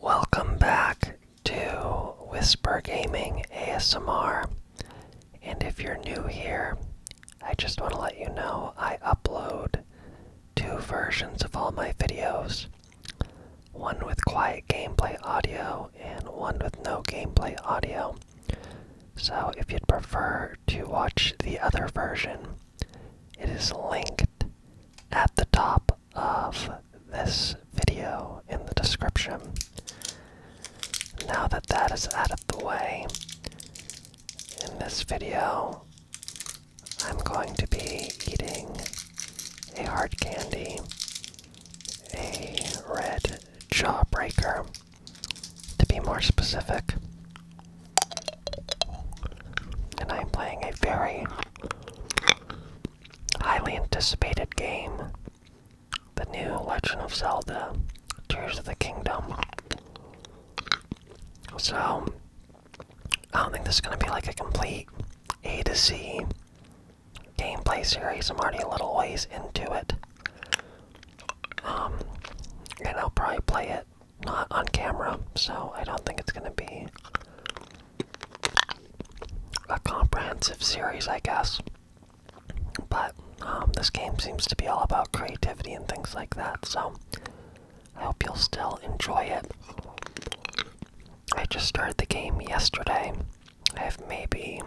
Welcome back to Whisper Gaming ASMR. And if you're new here, I just want to let you know I upload two versions of all my videos one with quiet gameplay audio and one with no gameplay audio. So if you'd prefer to watch the other version, it is linked at the top of this video in the description. Now that that is out of the way, in this video, I'm going to be eating a hard candy, a red jawbreaker, to be more specific. And I'm playing a very highly anticipated game The New Legend of Zelda Tears of the Kingdom. So, I don't think this is going to be like a complete A to Z gameplay series. I'm already a little ways into it. Um, and I'll probably play it not on camera, so I don't think it's going to be a comprehensive series, I guess. But um, this game seems to be all about creativity and things like that, so I hope you'll still enjoy it. I just started the game yesterday. I have maybe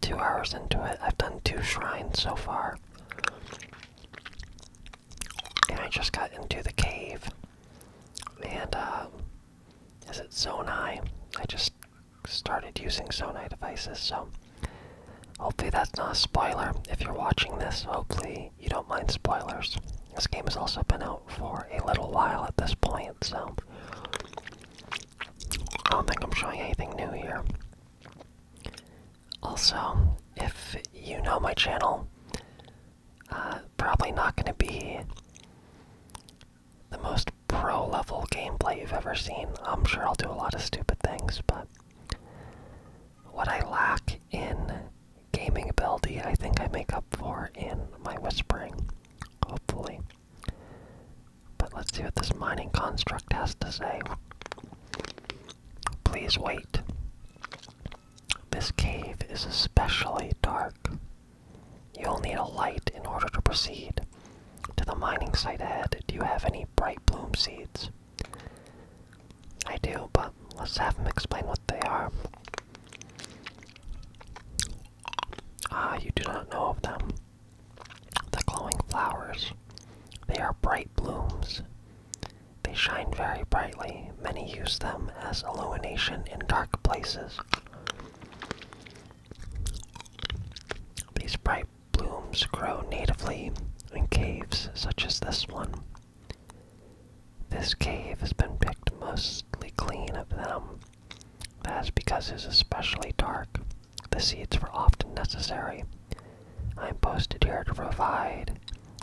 two hours into it. I've done two shrines so far. And I just got into the cave. And, as uh, it's it Zonai? I just started using Zonai devices, so hopefully that's not a spoiler. If you're watching this, hopefully you don't mind spoilers. This game has also been out for a little while at this point, so I don't think I'm showing anything new here. Also, if you know my channel, uh, probably not going to be the most pro level gameplay you've ever seen. I'm sure I'll do a lot of stupid things, but what I lack in gaming ability, I think I make up for in my whispering, hopefully. But let's see what this mining construct has to say. Please wait. This cave is especially dark. You'll need a light in order to proceed. To the mining site ahead, do you have any bright bloom seeds? I do, but let's have him explain what they are. Ah, you do not know of them. The glowing flowers. They are bright blooms. They shine very brightly. Many use them as illumination in dark places. These bright blooms grow natively in caves such as this one. This cave has been picked mostly clean of them. That is because it is especially dark. The seeds were often necessary. I'm posted here to provide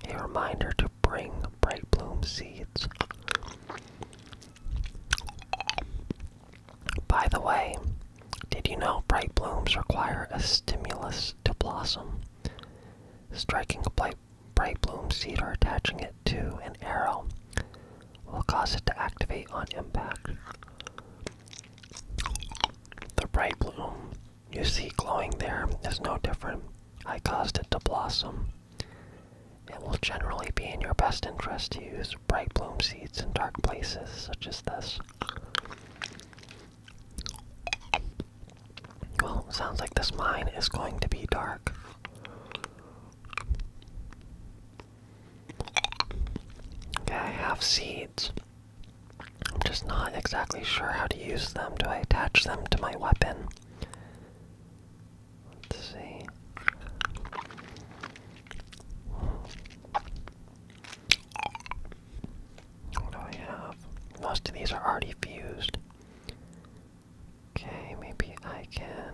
a reminder to bring bright bloom seeds. By the way, did you know bright blooms require a stimulus to blossom? Striking a bright, bloom seed or attaching it to an arrow will cause it to activate on impact. The bright bloom you see glowing there is no different. I caused it to blossom. It will generally be in your best interest to use bright bloom seeds in dark places such as this. Well, sounds like this mine is going to be dark. Okay, I have seeds. I'm just not exactly sure how to use them. Do I attach them to my weapon? Let's see. What do I have? Most of these are already fused. Okay, maybe I can.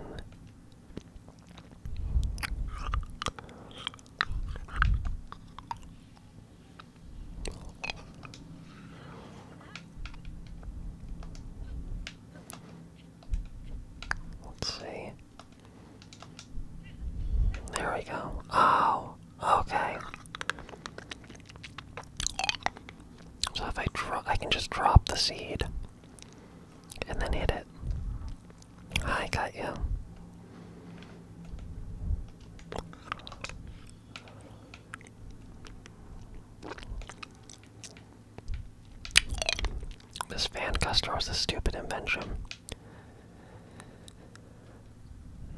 Let's see. There we go. Oh, okay. So if I drop, I can just drop the seed and then hit it. I got you. This fan custer was a stupid invention.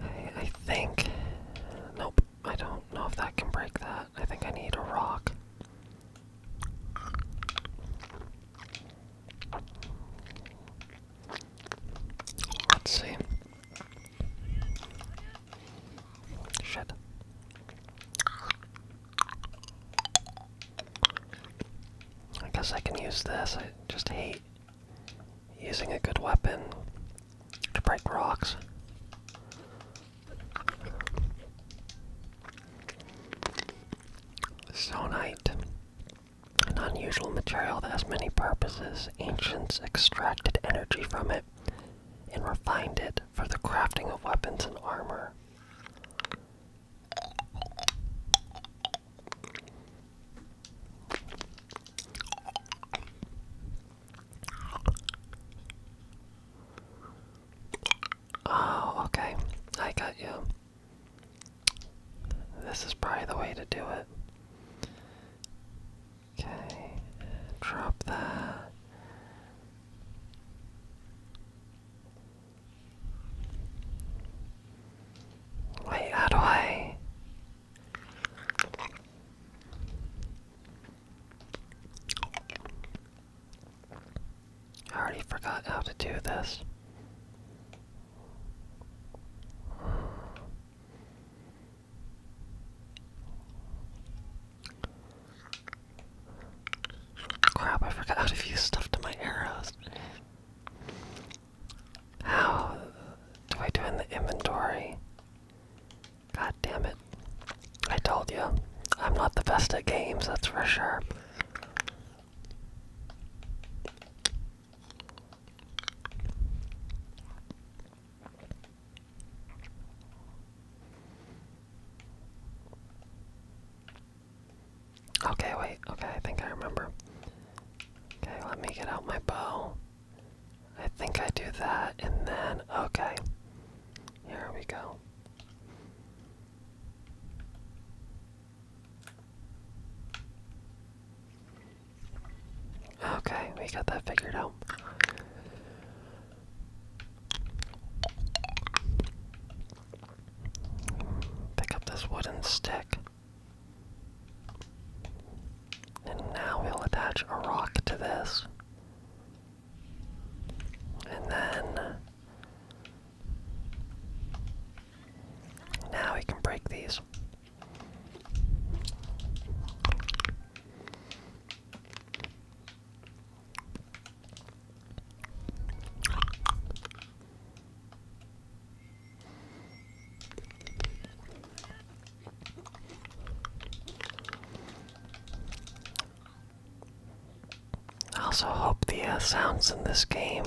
I think. Nope, I don't know if that can break that. I think I need a rock. Let's see. Shit. I guess I can use this. I just hate using a good weapon to break rocks. Sonite. An unusual material that has many purposes. Ancients extracted energy from it and refined it for the crafting of weapons and armor. Oh, okay. I got you. This is probably the way to do it. Okay, drop that. Wait, how do I? I already forgot how to do this. Crap, I forgot how to use stuff to my arrows. How do I do in the inventory? God damn it. I told you, I'm not the best at games, that's for sure. Okay, wait, okay, I think I remember. Okay, let me get out my bow. I think I do that, and then, okay. Here we go. Okay, we got that figured out. Pick up this wooden stick. And now we'll attach a rock to this. And then. Now we can break these. I also hope the uh, sounds in this game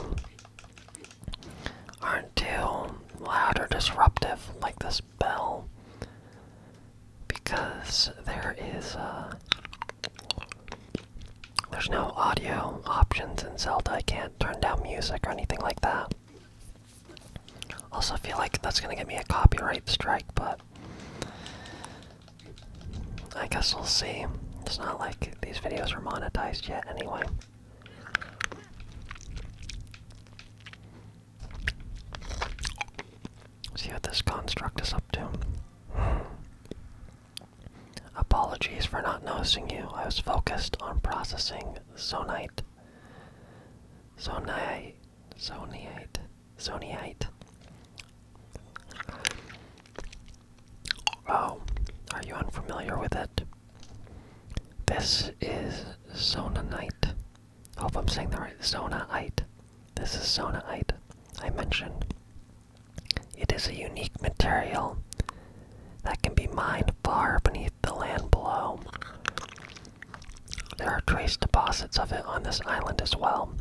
aren't too loud or disruptive like this bell because there is uh, there's no audio options in Zelda. I can't turn down music or anything like that. Also feel like that's gonna get me a copyright strike, but I guess we'll see. It's not like these videos were monetized yet anyway. See what this construct is up to. Apologies for not noticing you. I was focused on processing zonite. Zonite. Zonite. Zonite. Oh, are you unfamiliar with it? This is Zonanite. I hope I'm saying the right. Zonaite. This is Zonaite. I mentioned. It is a unique material that can be mined far beneath the land below. There are trace deposits of it on this island as well,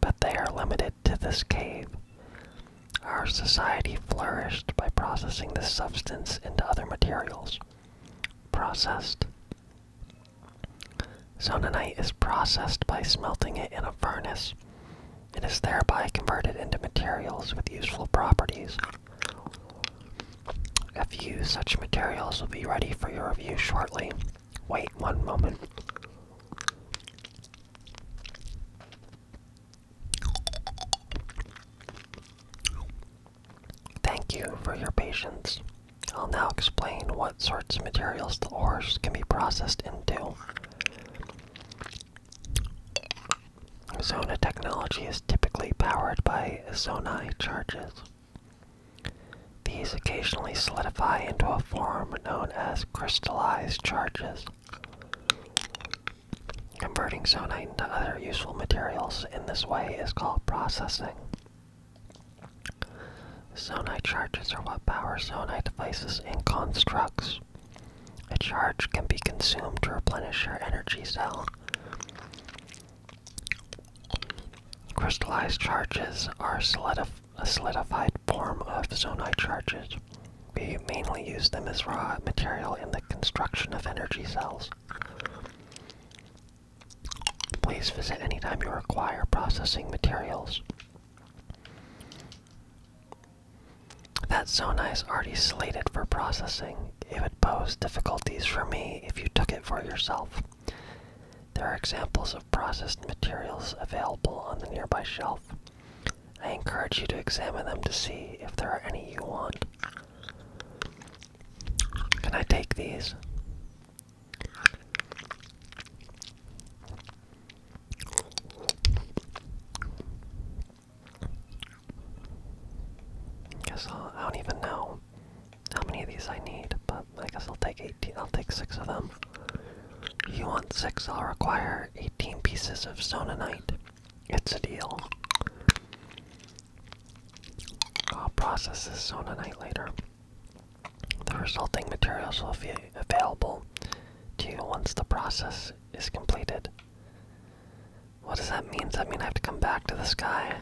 but they are limited to this cave. Our society flourished by processing this substance into other materials. Processed. Zononite is processed by smelting it in a furnace. It is thereby converted into materials with useful properties. A few such materials will be ready for your review shortly. Wait one moment. Thank you for your patience. I'll now explain what sorts of materials the ores can be processed into. Zona technology is typically powered by zonai charges. These occasionally solidify into a form known as crystallized charges. Converting zonite into other useful materials in this way is called processing. Zonite charges are what powers zonite devices and constructs. A charge can be consumed to replenish your energy cell. Crystallized charges are a solidified form of zonite charges. We mainly use them as raw material in the construction of energy cells. Please visit anytime you require processing materials. That zona is already slated for processing. It would pose difficulties for me if you took it for yourself. There are examples of processed materials available on the nearby shelf. I encourage you to examine them to see if there are any you want. Can I take these? I don't even know how many of these I need, but I guess I'll take 18. I'll take six of them. You want six? I'll require 18 pieces of sononite. It's a deal. I'll process this on a night later. The resulting materials will be available to you once the process is completed. What does that mean? Does that mean I have to come back to this guy?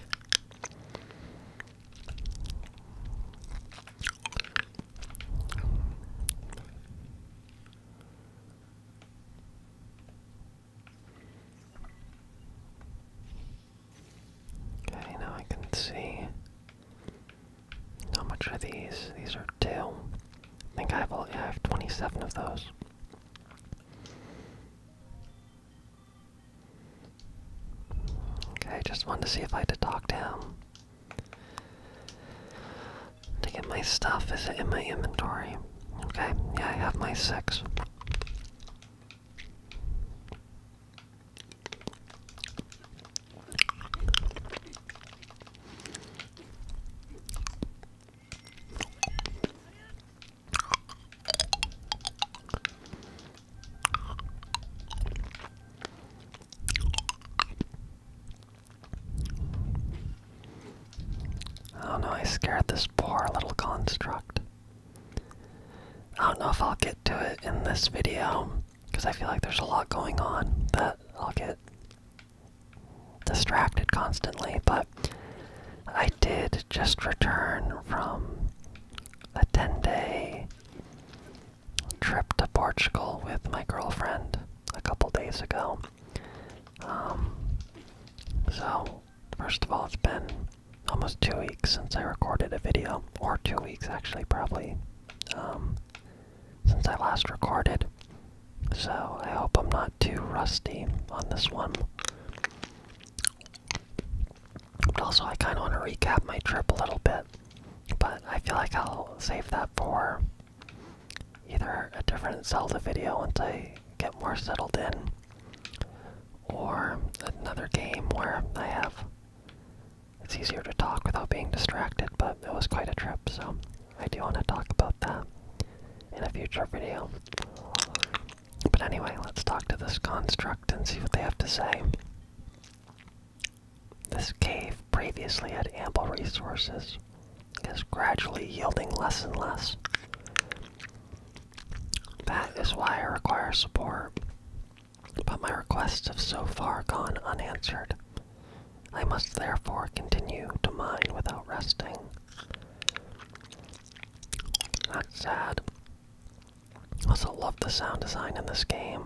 Okay, now I can see how much are these. These are two. I think I have, I have 27 of those. Okay, just wanted to see if I had to talk to him to get my stuff. Is in my inventory? Okay, yeah, I have my six. Oh no, I scared this poor little construct. I don't know if I'll get to it in this video, because I feel like there's a lot going on that I'll get distracted constantly, but I did just return from a 10 day trip to Portugal with my girlfriend a couple days ago. Um, so, first of all, it's been almost two weeks since I recorded a video, or two weeks actually, probably, um, since I last recorded. So, I hope I'm not too rusty on this one. But also, I kind of want to recap my trip a little bit, but I feel like I'll save that for either a different Zelda video once I get more settled in, or another game where I have. It's easier to talk without being distracted, but it was quite a trip, so I do want to talk about that in a future video. But anyway, let's talk to this construct and see what they have to say. This cave previously had ample resources is gradually yielding less and less. That is why I require support, but my requests have so far gone unanswered. I must therefore continue to mine without resting. That's sad. Also love the sound design in this game.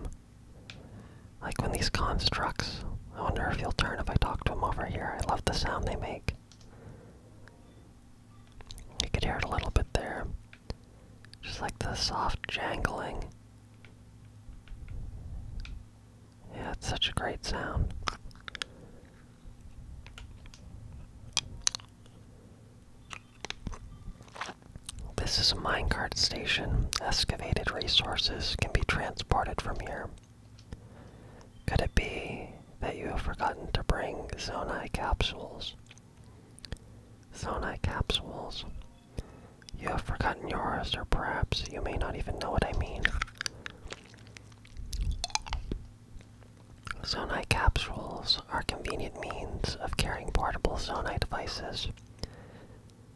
Like when these constructs, I wonder if he'll turn if I talk to him over here. I love the sound they make. You could hear it a little bit there. Just like the soft jangling. Yeah, it's such a great sound. This is a minecart station. Excavated resources can be transported from here. Could it be that you have forgotten to bring Zonai capsules? Zonai capsules. You have forgotten yours, or perhaps you may not even know what I mean. Zonai capsules are convenient means of carrying portable Zonai devices.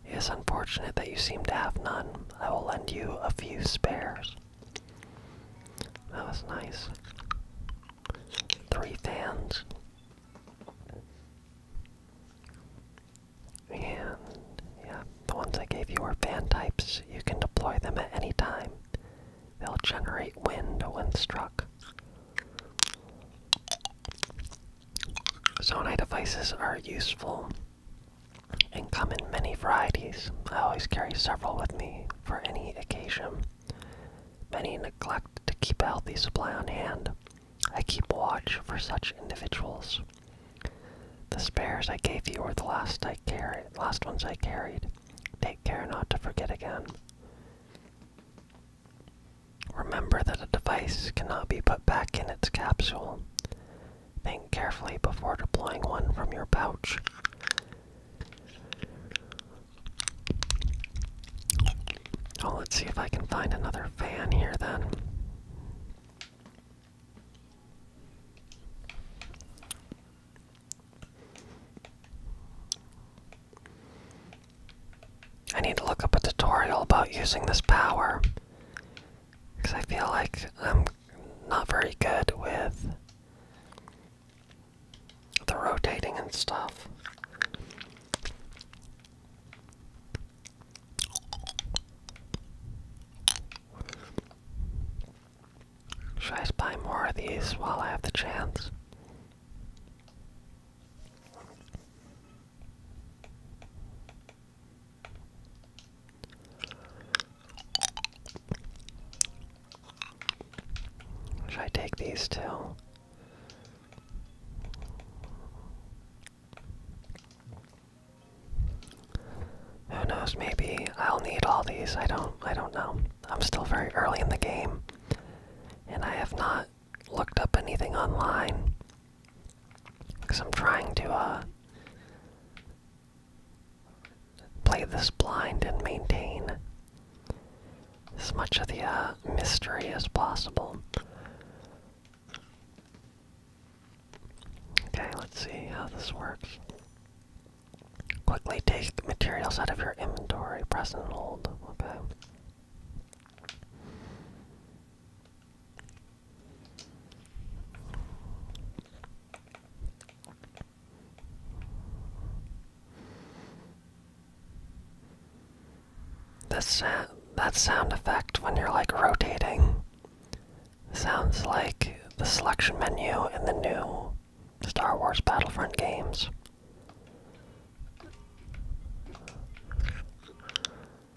It is unfortunate that you seem to have none. I will lend you a few spares. That was nice. Three fans. And yeah, the ones I gave you are fan types. You can deploy them at any time. They'll generate wind when struck. Zonai devices are useful and come in many varieties. I always carry several with me for any occasion. Many neglect to keep a healthy supply on hand. I keep watch for such individuals. The spares I gave you were the last I carried, last ones I carried. Take care not to forget again. Remember that a device cannot be put back in its capsule. Think carefully before deploying one from your pouch. Oh, let's see if I can find another fan here then. I need to look up a tutorial about using this power. Because I feel like I'm not very good with the rotating and stuff. Should I buy more of these while I have the chance? Should I take these two? Who knows, maybe I'll need all these. I don't I don't know. I'm still very early in the game and I have not looked up anything online because I'm trying to uh play this blind and maintain as much of the uh, mystery as possible. Okay, let's see how this works. Quickly take materials out of your inventory, press and hold. Okay. That sound, effect when you're like rotating sounds like the selection menu in the new Star Wars Battlefront games.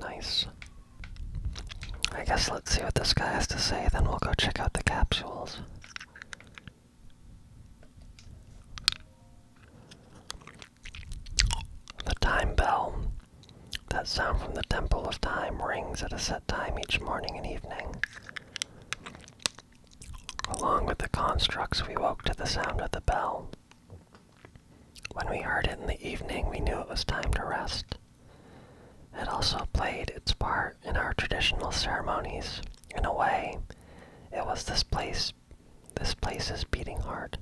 Nice. I guess let's see what this guy has to say, then we'll go check out the capsules. The time bell. That sound from the Temple of Time rings at a set time each morning and evening. Along with the constructs, we woke to the sound of the bell. When we heard it in the evening, we knew it was time to rest. It also played its part in our traditional ceremonies. In a way, it was this place this place's beating heart.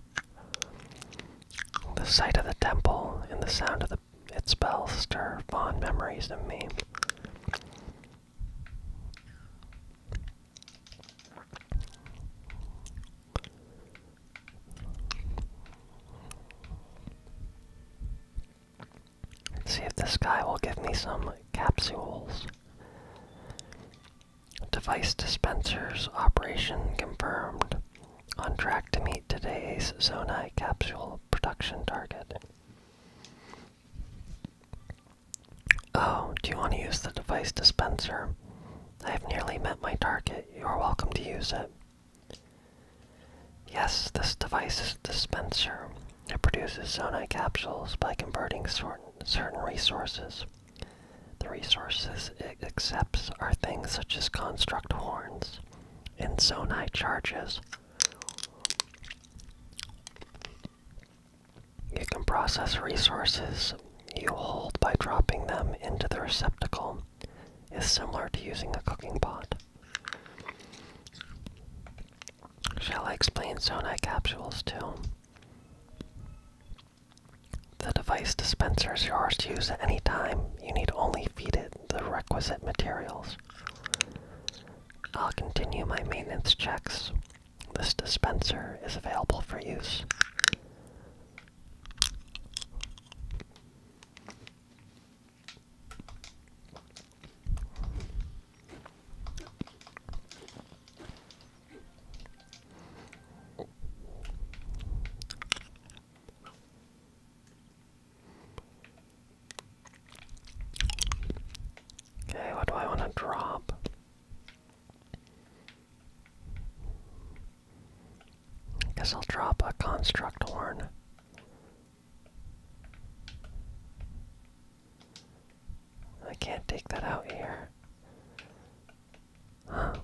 The sight of the temple and the sound of its bells stir fond memories in me. Let's see if this guy will give me some capsules. Device dispensers operation confirmed. On track to meet today's Zonai capsule production target. Oh, do you want to use the device dispenser? I have nearly met my target. You are welcome to use it. Yes, this device is a dispenser. It produces zonite capsules by converting certain, resources. The resources it accepts are things such as construct horns and zonite charges. You can process resources you hold by dropping them into the receptacle is similar to using a cooking pot. Shall I explain Sonai capsules too? The device dispenser is yours to use at any time. You need only feed it the requisite materials. I'll continue my maintenance checks. This dispenser is available for use. Okay, what do I want to drop? I guess I'll drop a construct horn. I can't take that out here. Huh.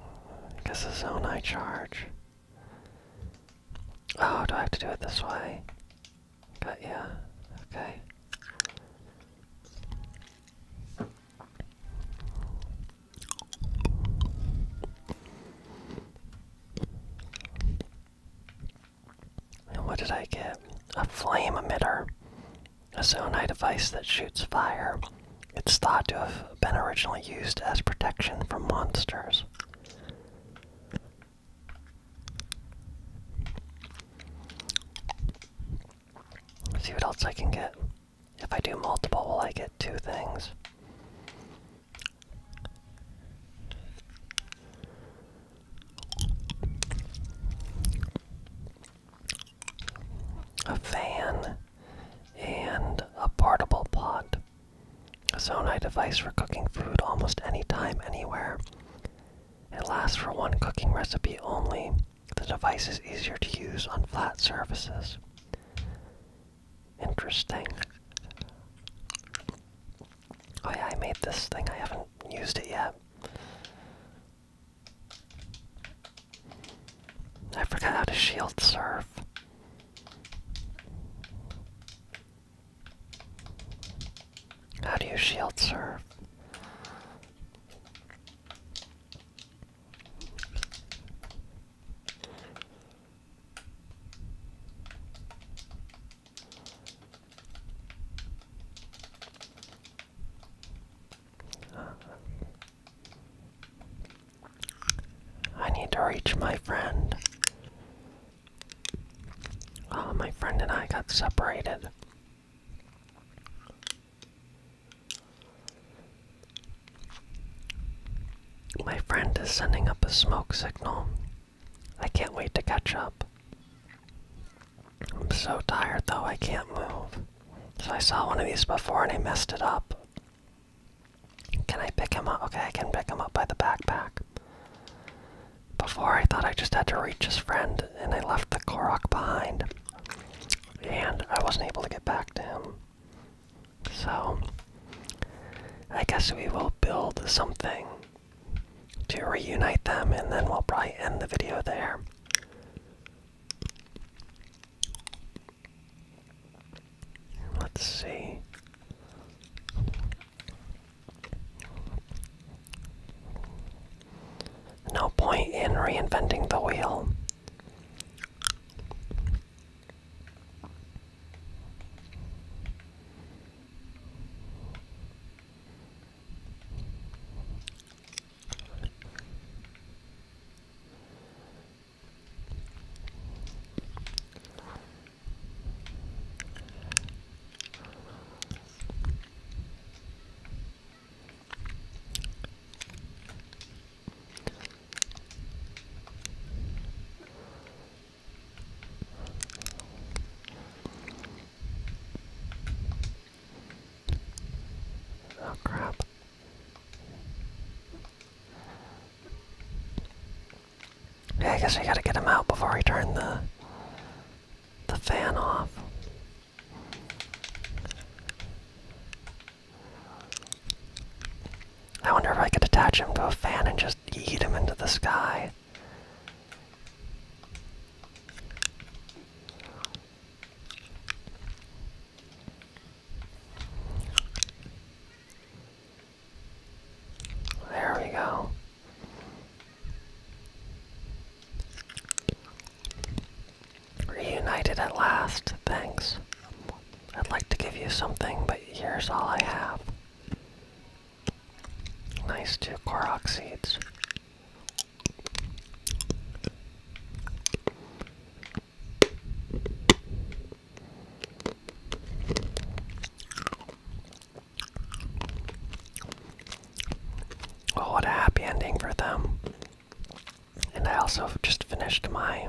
I guess a zone I charge. Oh, do I have to do it this way? But yeah, okay what did I get? A flame emitter. A Zonai device that shoots fire. It's thought to have been originally used as protection from monsters. see what else I can get. If I do multiple, will I get two things? A fan and a portable pot. A Sonai device for cooking food almost any time, anywhere. It lasts for one cooking recipe only. The device is easier to use on flat surfaces. Interesting. Oh yeah, I made this thing. I haven't used it yet. I forgot how to shield surf. How do you shield surf? I need to reach my friend. Uh, my friend and I got separated. My friend is sending up a smoke signal. I can't wait to catch up. I'm so tired though, I can't move. So I saw one of these before and I messed it up. Can I pick him up? Okay, I can pick him up by the backpack. Before I thought I just had to reach his friend and I left the Korok behind and I wasn't able to get back to him. So, I guess we will build something to reunite them, and then we'll probably end the video there. Let's see. No point in reinventing the wheel. Oh crap. Yeah, I guess we gotta get him out before we turn the the fan off. I wonder if I could attach him to a fan and just eat him into the sky. There we go. Reunited at last, thanks. I'd like to give you something, but here's all I have. Nice two Korok seeds. Oh, what a happy ending for them. And I also just finished my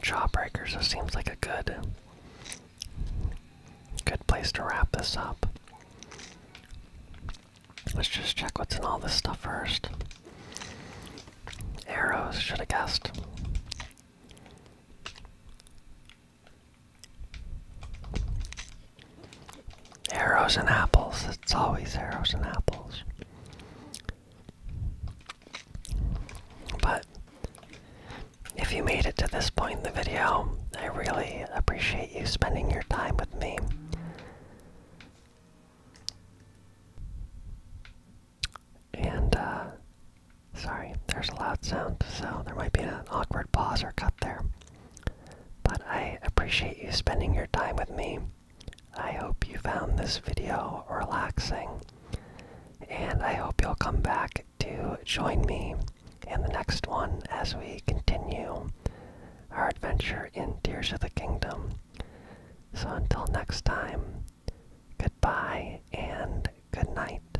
Jawbreaker, so it seems like a good good place to wrap this up. Let's just check what's in all this stuff first. Arrows, should have guessed. Arrows and apples. It's always arrows and apples. But if you made it to this point in the video, I really appreciate you spending your time with me. And, uh, sorry, there's a loud sound, so there might be an awkward pause or cut there. But I appreciate you spending your time with me. I hope you found this video relaxing, and I hope you'll come back to join me in the next one as we continue our adventure in Tears of the Kingdom. So until next time, goodbye and good night.